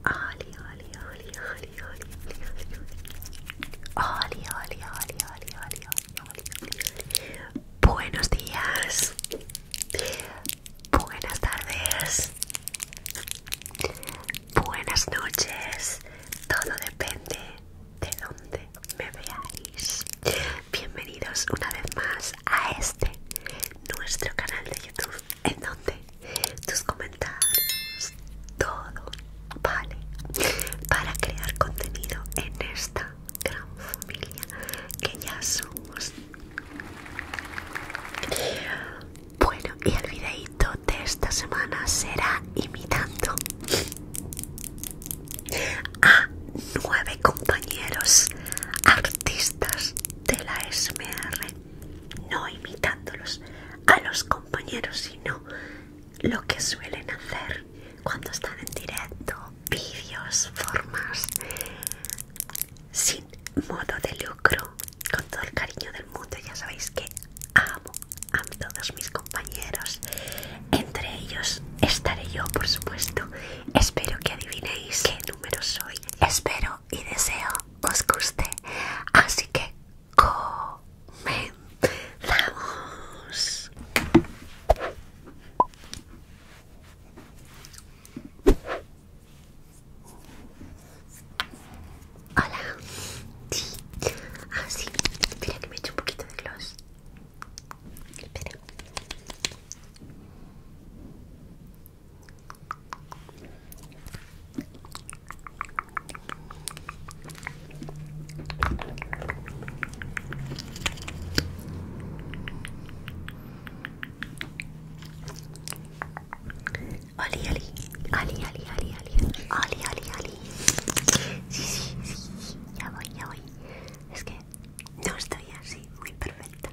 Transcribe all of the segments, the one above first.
Oli, oli, oli, oli, oli, oli, oli, Buenos días. Buenas tardes. Buenas noches. Todo depende de dónde me veáis. Bienvenidos una vez más a este nuestro canal de YouTube en donde tus comentarios, todo, vale, para crear contenido en esta gran familia que ya somos. Bueno, y el videito de esta semana será imitando a nueve compañeros artistas de la SMR no imitándolos a los compañeros, sino lo que suelen hacer cuando están en directo, vídeos, formas, sin modo de lucro, con todo el cariño del mundo, ya sabéis que amo a todos mis compañeros, entre ellos estaré yo, por supuesto, espero que adivinéis qué número soy, espero y deseo os guste. Así que comenzamos. Hola. Sí. así ah, Espera que me echo un poquito de gloss. Espera. Ali ali ali ali ali ali ali ali oli. Sí, sí, sí, ya voy, ya voy. Es que no estoy así muy perfecta.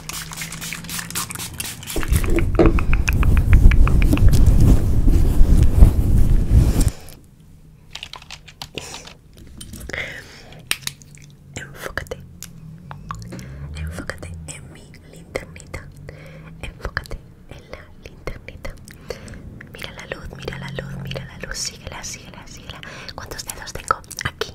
Enfócate, enfócate en mi linternita, enfócate en la linternita. Mira la luz, mira la luz, mira la luz, síguela, síguela, síguela. ¿Cuántos dedos tengo? Aquí,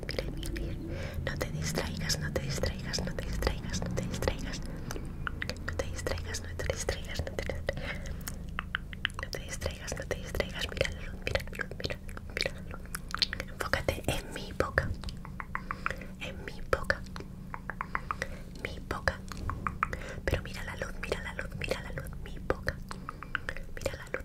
mira No te distraigas, no te distraigas, no te distraigas, no te distraigas. No te distraigas, no te distraigas, no te distraigas. No te distraigas, no te distraigas. Mira la mira la luz, mira mira Enfócate en mi boca. En mi boca. Mi boca. Pero mira la luz, mira la luz, mira la luz, mi boca. Mira la luz,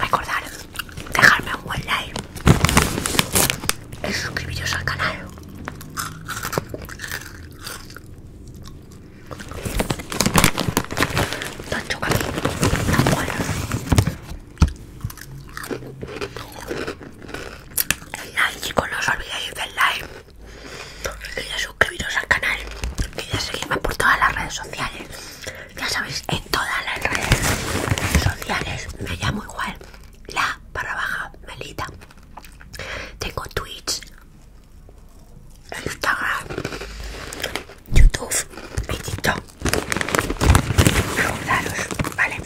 Recordar dejarme un buen like y suscribiros al canal. No no el like chicos no os olvidéis del like y de suscribiros al canal y de seguirme por todas las redes sociales ya sabéis en todas las redes sociales me llamo igual la barra baja melita tengo twitch instagram youtube y tiktok vale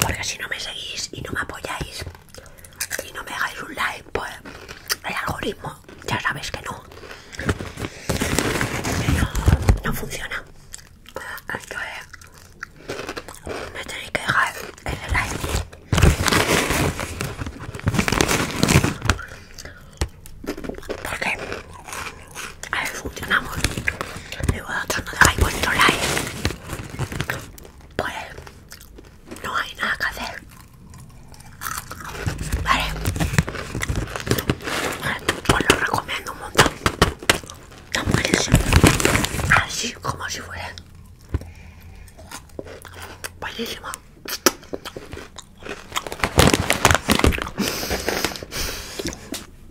porque si no me seguís y no me apoyáis y no me dejáis un like, pues el algoritmo ya sabéis que no. no, funciona. Entonces me tenéis que dejar el like. Porque a ver, funcionamos. Le voy a otros no like. Pues no hay nada que hacer. Vale. Os pues lo recomiendo un montón. Así como si fuera. Buenísimo.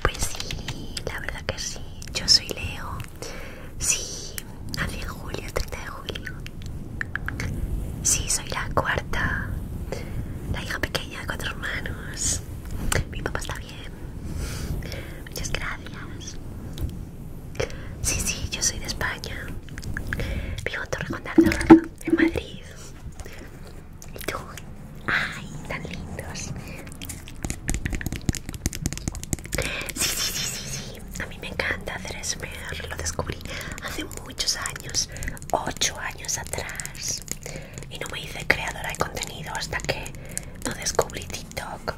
Pues sí, la verdad que sí. Yo soy Leo. Sí, hace julio, 30 de julio. Sí, soy la cuarta. La hija pequeña cuatro hermanos. Mi papá está bien. Muchas gracias. Sí, sí, yo soy de España. Vivo en Torrejón de en Madrid. ¿Y tú? ¡Ay, tan lindos! Sí, sí, sí, sí, sí. A mí me encanta hacer SMR. Lo descubrí hace muchos años 8 años atrás y no me hice creadora de contenido hasta que no descubrí TikTok.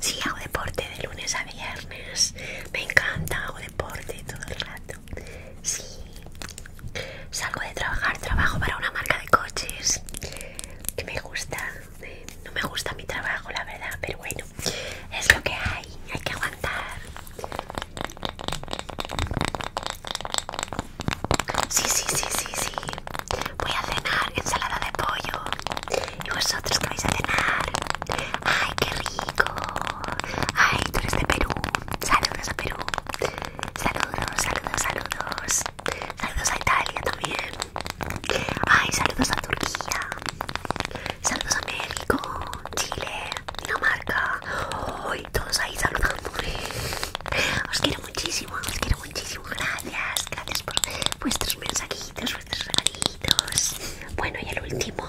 Sí, hago deporte de lunes a viernes. Me encanta, hago deporte todo el rato. Sí. Salgo de trabajar, trabajo para una marca de coches que me gusta. Eh, no me gusta mi trabajo, la verdad, pero bueno es lo que hay, hay que aguantar. Sí, sí, sí, sí, sí. Voy a cenar ensalada de pollo. ¿Y vosotros qué vais a cenar? ¡Ay, qué rico! ¡Ay, tú eres de Perú! ¡Saludos a Perú! ¡Saludos, saludos, saludos! ¡Saludos a Italia también! Ay, saludos a Turquía. Saludos a México, Chile, Dinamarca. Hoy todos ahí saludando Os quiero muchísimo, os quiero muchísimo. Gracias, gracias por vuestros mensajitos, vuestros regalitos. Bueno, y el último.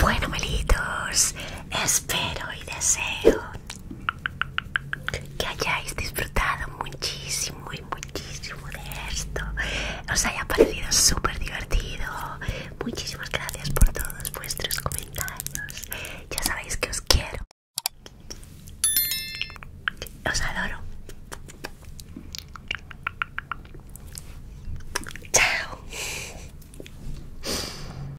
Bueno, melitos espero y deseo que hayáis disfrutado muchísimo y muchísimo de esto os haya parecido súper divertido muchísimas gracias por todos vuestros comentarios ya sabéis que os quiero os adoro chao